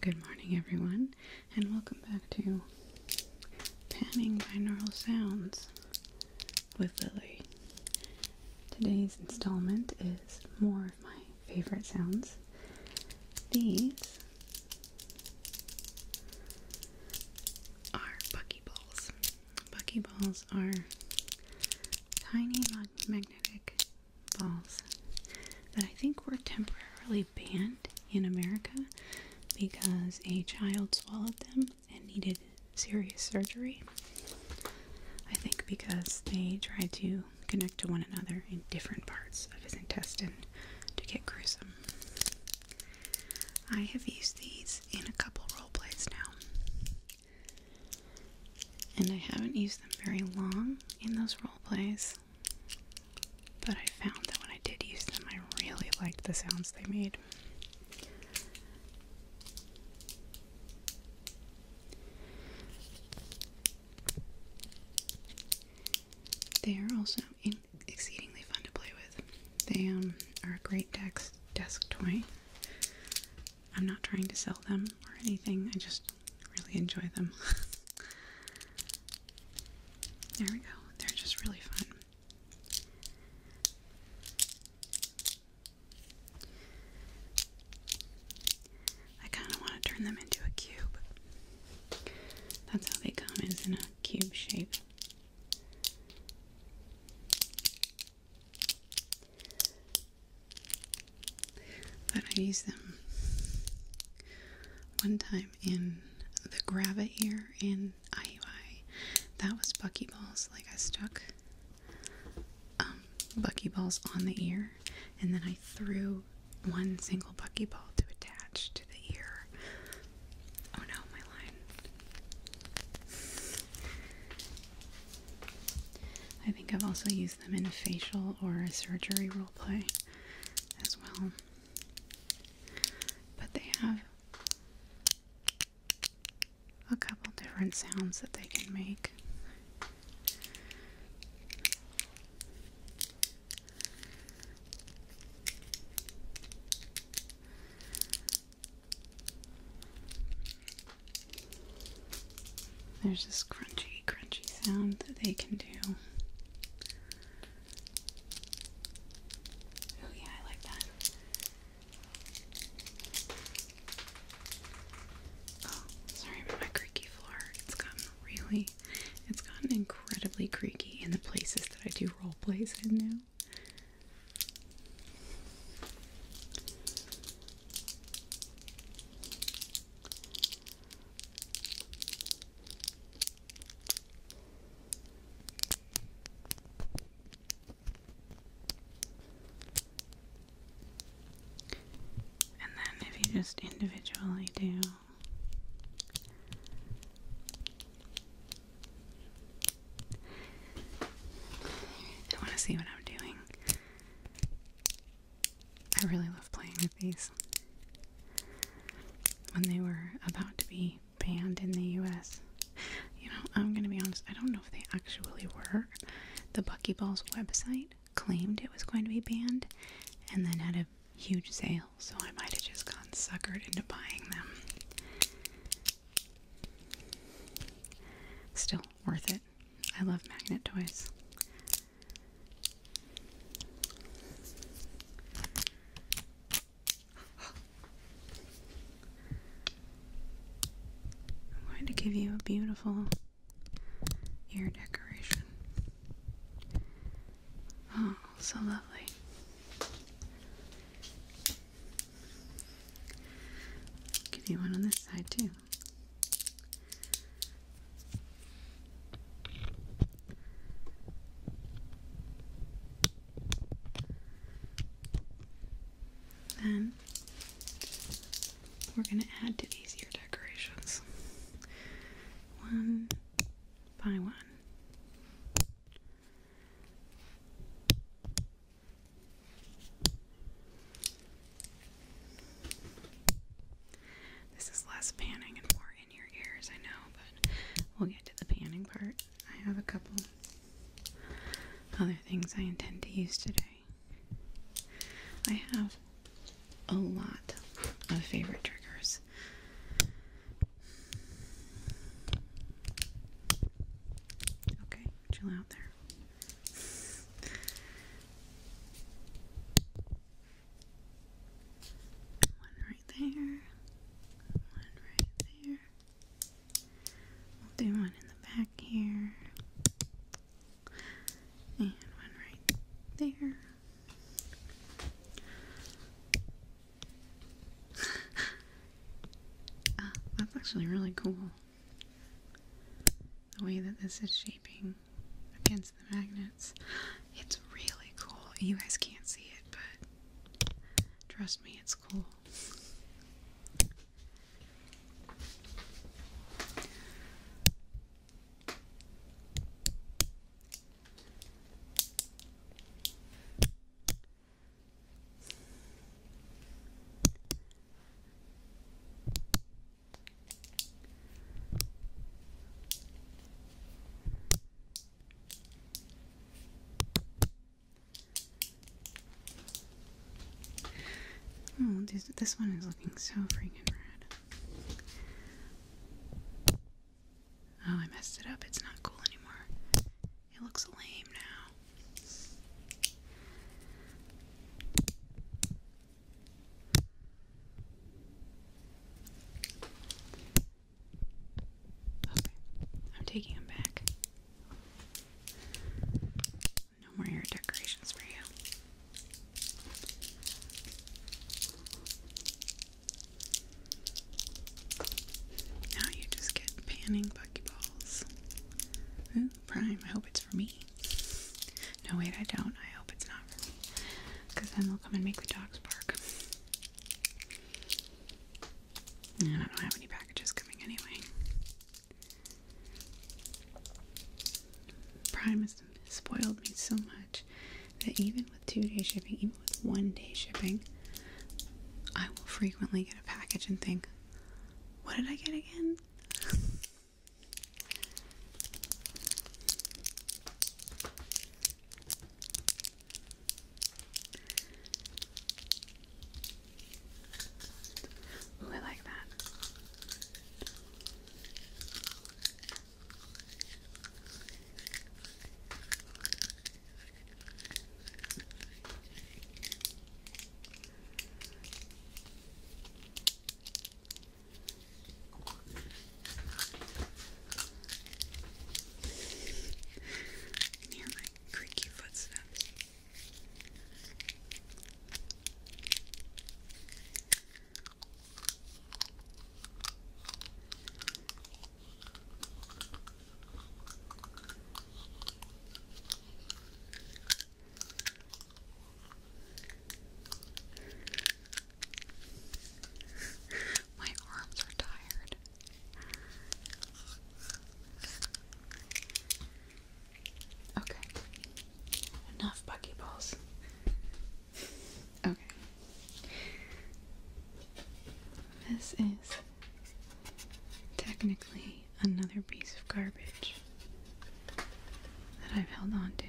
Good morning, everyone, and welcome back to Panning Binaural Sounds with Lily. Today's installment is more of my favorite sounds. These are buckyballs. Buckyballs are tiny magnetic Balls that I think were temporarily banned in America because a child swallowed them and needed serious surgery. I think because they tried to connect to one another in different parts of his intestine to get gruesome. I have used these in a couple role plays now. And I haven't used them very long in those role plays. But I found that when I did use them, I really liked the sounds they made. They are also exceedingly fun to play with. They um, are a great desk toy. I'm not trying to sell them or anything, I just really enjoy them. there we go, they're just really fun. I kind of want to turn them into a cube. That's how they come, is in a cube shape. But I used them one time in the Grava here in IUI. That was balls. Like I stuck um, balls on the ear, and then I threw one single ball to attach to the ear. Oh no, my line. I think I've also used them in a facial or a surgery role play as well. But they have a couple different sounds that they can make. There's this crunchy, crunchy sound that they can do. Oh, yeah, I like that. Oh, sorry my creaky floor. It's gotten really, it's gotten incredibly creaky in the places that I do role plays in now. And then if you just individually do I want to see what I'm doing. I really love playing with these. When they were about to be banned in the US, you know, I'm gonna be honest, I don't know if they actually were. The Buckyballs website claimed it was going to be banned and then had a huge sale, so I might have just gotten suckered into buying them. Still, worth it. I love magnet toys. I'm going to give you a beautiful ear decoration. Oh, so lovely. Give you one on this side, too. Then we're going to add to these your decorations one by one. This is less panning and more in your ears, I know, but we'll get to the panning part. I have a couple other things I intend to use today. I have a lot of favorite triggers. Okay, chill out there. One right there. One right there. We'll do one in the back here. And one right there. uh, that's actually really cool the way that this is shaping against the magnets. It's really cool. You guys can't see it, but trust me, it's cool. Oh, this, this one is looking so freaking red. Oh, I messed it up. It's not cool anymore. It looks lame now. Okay, I'm taking them back. No more ear decorations for you. Now you just get panning buckyballs. Ooh, Prime. I hope it's for me. No, wait, I don't. I hope it's not for me. Because then they'll come and make the dogs bark. And I don't have any packages coming anyway. Prime has spoiled me so much that even with two day shipping, even with one day shipping, I will frequently get a package and think, what did I get again? I like that. I can hear my creaky footsteps. All my arms are tired. Okay. Enough buckyballs. okay. This is technically another piece of garbage that I've held on to.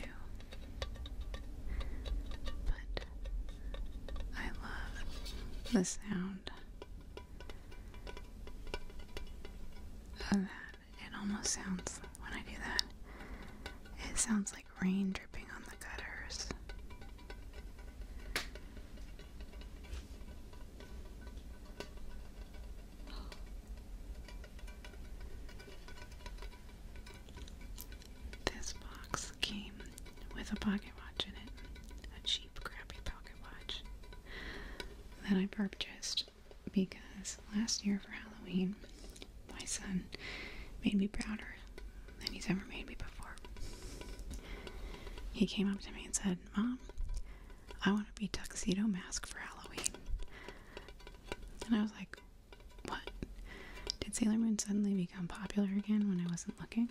But I love the sound of that. It almost sounds, when I do that, it sounds like rain dripping on the gutters. This box came with a pocket watch in it, a cheap, crappy pocket watch that I purchased because last year for Halloween, my son made me prouder than he's ever made me before. He came up to me and said, Mom, I want to be Tuxedo Mask for Halloween. And I was like, what? Did Sailor Moon suddenly become popular again when I wasn't looking?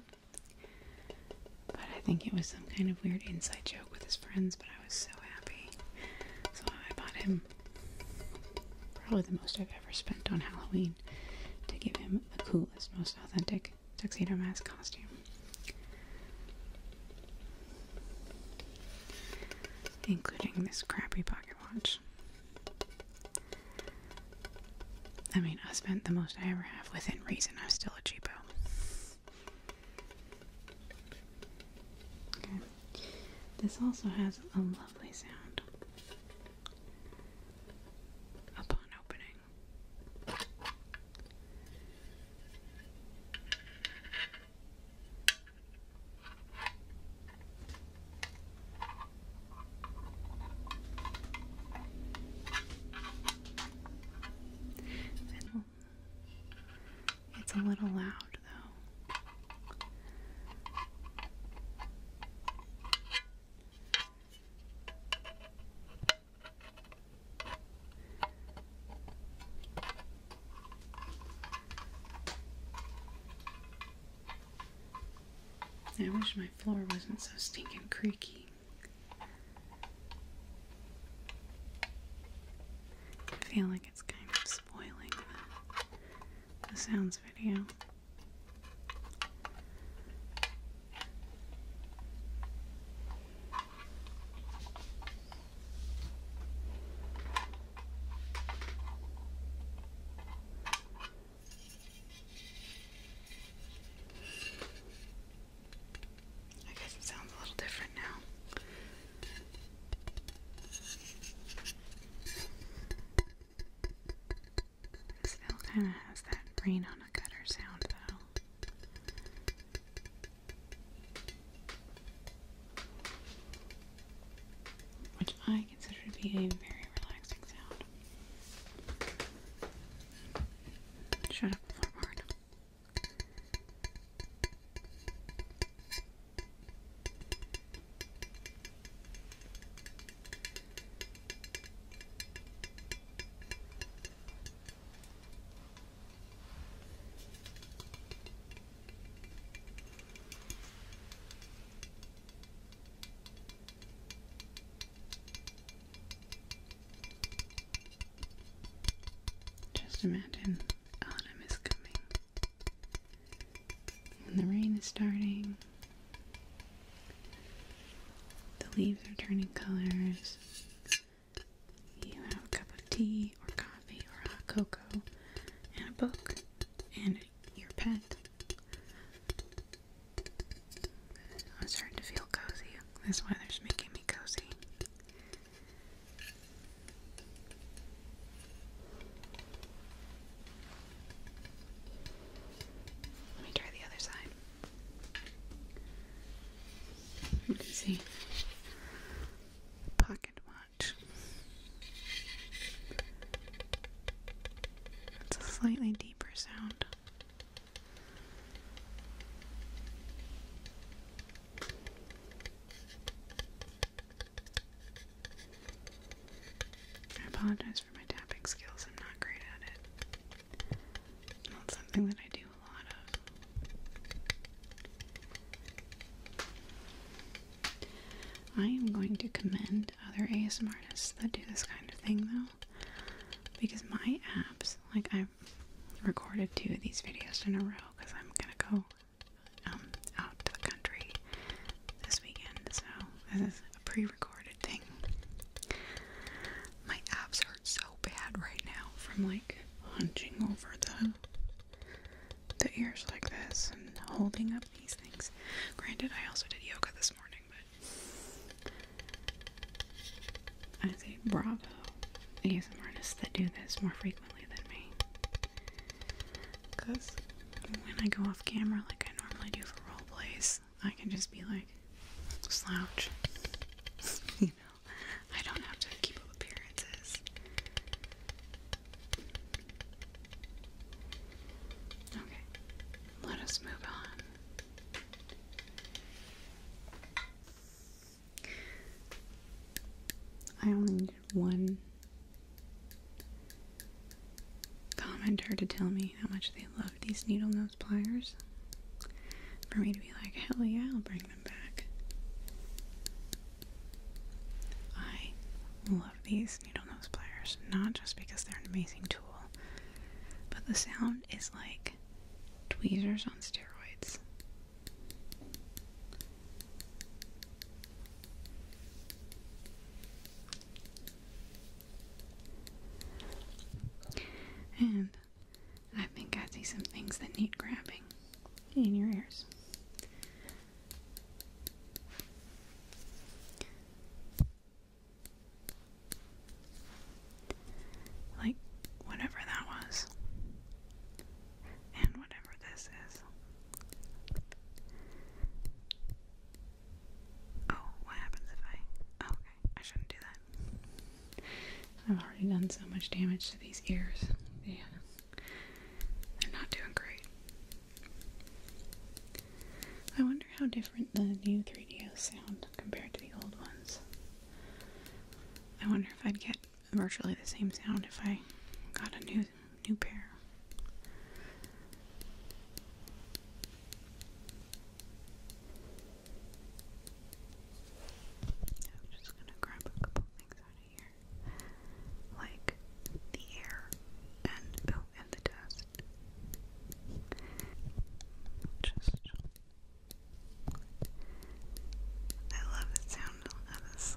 But I think it was some kind of weird inside joke with his friends, but I was so happy. So I bought him probably the most I've ever spent on Halloween to give him the coolest, most authentic tuxedo mask costume. Including this crappy pocket watch. I mean, I spent the most I ever have within reason. I'm still a cheapo. Okay. This also has a lovely sound upon opening. It's a little loud, though. I wish my floor wasn't so stinking creaky. I feel like it's kind of spoiling the, sounds video. I guess it sounds a little different now. It still kind of has that rain on a gutter sound, though which I consider to be a very relaxing sound. Shut up, floorboard. Just imagine autumn is coming and the rain is starting. The leaves are turning colors. You have a cup of tea or coffee or hot cocoa and a book and your pet. I'm starting to feel cozy. This weather's making me cozy. Let me try the other side. You can see pocket watch. It's a slightly deeper sound. I apologize for my tapping skills, I'm not great at it. Not something that I do a lot of. I am going to commend other ASMR artists that do this kind of thing though, because my apps, like I've recorded two of these videos in a row because I'm gonna go um, out to the country this weekend, so this is a pre recorded thing. My abs hurt so bad right now from like hunching over the the ears like this and holding up these things. Granted, I also did yoga this morning, but I say bravo. These artists that do this more frequently than me. Because when I go off camera like I normally do for role plays, I can just be like, slouch. you know, I don't have to keep up appearances. Okay, let us move on. I only need one commenter to tell me how much they love these needle those pliers for me to be like, hell yeah, I'll bring them back. I love these needle nose pliers, not just because they're an amazing tool, but the sound is like tweezers on steroids. And I think I see some things that need grabbing in your ears. Like whatever that was, and whatever this is. Oh, what happens if I? okay, I shouldn't do that. I've already done so much damage to these ears. They're not doing great. I wonder how different the new 3DOs sound compared to the old ones. I wonder if I'd get virtually the same sound if I got a new new pair. I'm just gonna grab a couple things out of here, like the air and oh, and the dust. Just, I love the sound of this.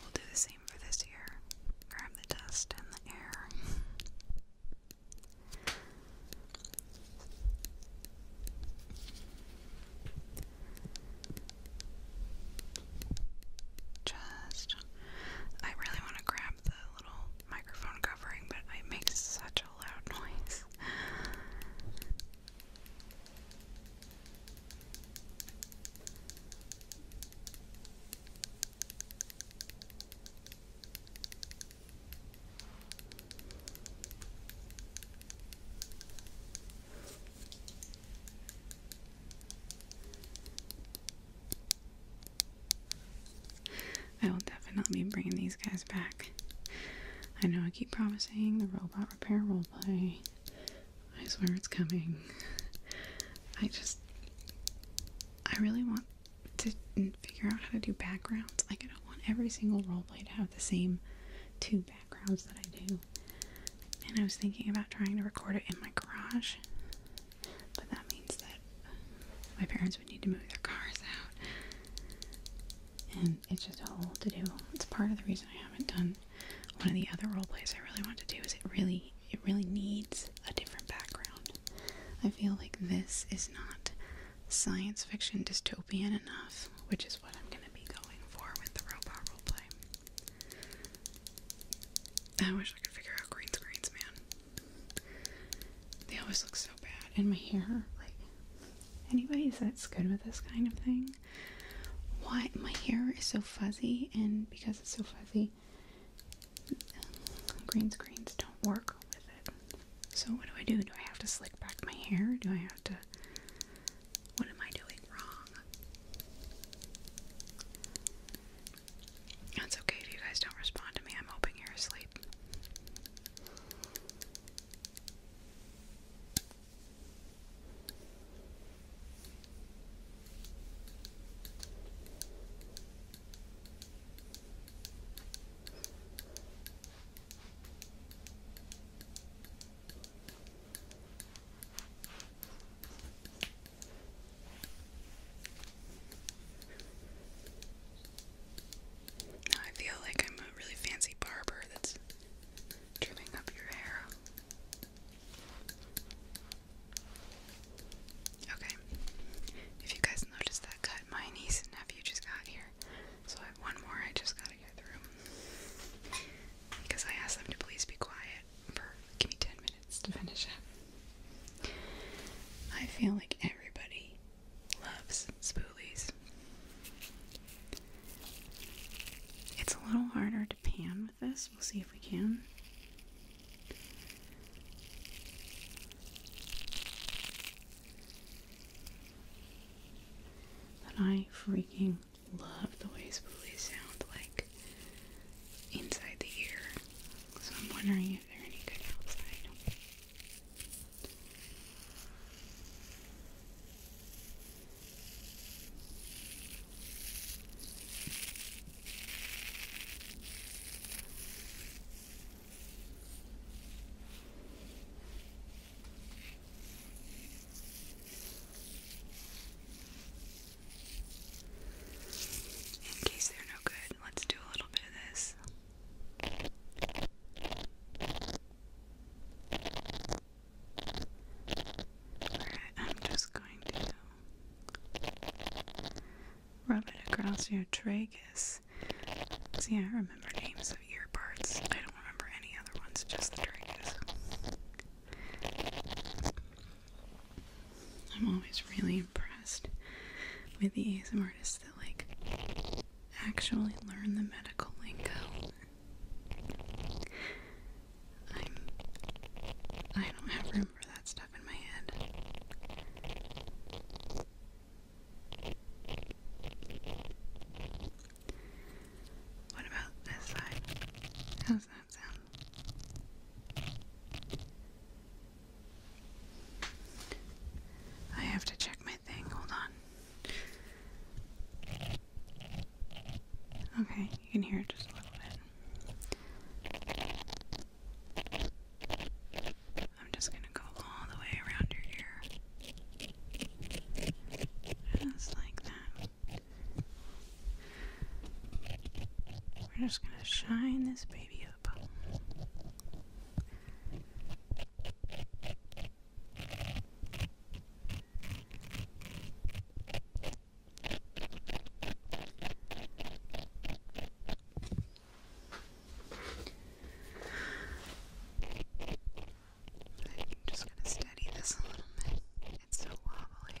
We'll do the same for this year. Grab the dust and the air. Just, I really want to grab the little microphone covering, but it makes such a loud noise. I will definitely be bringing these guys back. I know I keep promising the robot repair roleplay, I swear it's coming. I just. I really want to figure out how to do backgrounds. Like, I don't want every single roleplay to have the same two backgrounds that I do. And I was thinking about trying to record it in my garage, but that means that my parents would need to move their cars out. And it's just a whole to do. It's part of the reason I haven't done one of the other role plays I really want to do is it really it really needs a different background. I feel like this is not science fiction dystopian enough, which is what I'm going to be going for with the robot roleplay. I wish I could figure out green screens, man. They always look so bad, and my hair, like, anybody that's good with this kind of thing, why my hair is so fuzzy, and because it's so fuzzy, green screens don't work with it. So what do I do? Do I have to slick back my hair? Do I have to what am I doing wrong? That's okay if you guys don't respond to me. I'm hoping you're asleep. Now I feel like I'm a really fancy barber that's trimming up your hair. Okay, if you guys noticed that cut, my niece and nephew just got here. So I have one more I just gotta get through. Because I asked them to please be quiet for give me 10 minutes to finish I feel like everybody loves spoolies. It's a little harder to pan We'll see if we can. I freaking love the way spoolies sound like inside the ear. So I'm wondering if they're any good outside. In case they're no good, let's do a little bit of this. I'm just going to rub it across your tragus. See, I remember names of ear parts. I don't remember any other ones, just the tragus. I'm always really impressed with the ASM artists that like actually learn the medical lingo. I'm I don't have room for that stuff in my head. What about this side? How's that sound? I have to check my thing. Hold on. Okay, you can hear it just a little bit. I'm just going to go all the way around your ear. Just like that. We're just going to shine this baby up. I'm just going to steady this a little bit. It's so wobbly.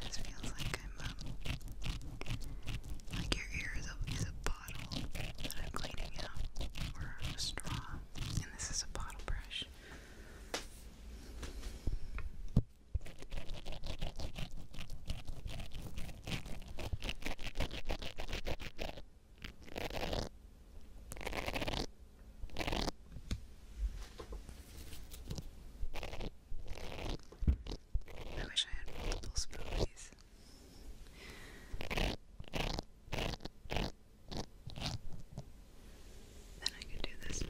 This feels like I'm um, like your ear is a, a bottle that I'm cleaning out, or a straw, and this is a bottle brush. I wish I had multiple spoonies. Then I could do this.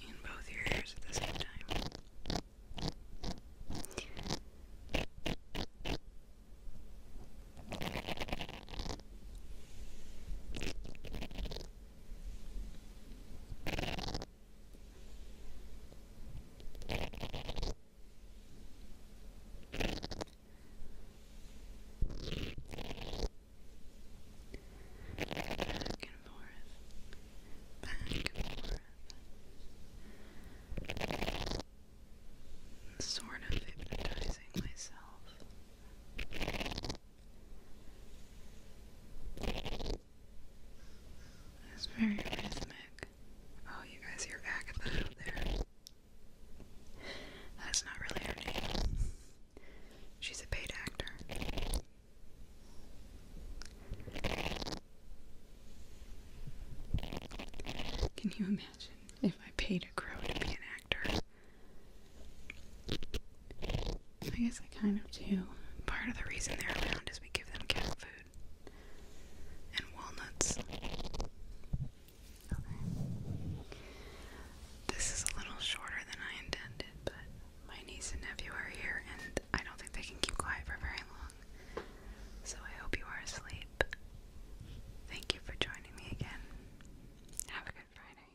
In both ears at the same time and forth, back and forth sort of hypnotizing myself. It's very rhythmic. Oh, you guys hear Agatha out there. That's not really her name. She's a paid actor. Can you imagine if I paid a crow to be an actor. I guess I kind of do. Part of the reason they're around is we give them cat food and walnuts. This is a little shorter than I intended, but my niece and nephew are here, and I don't think they can keep quiet for very long. So I hope you are asleep. Thank you for joining me again. Have a good Friday.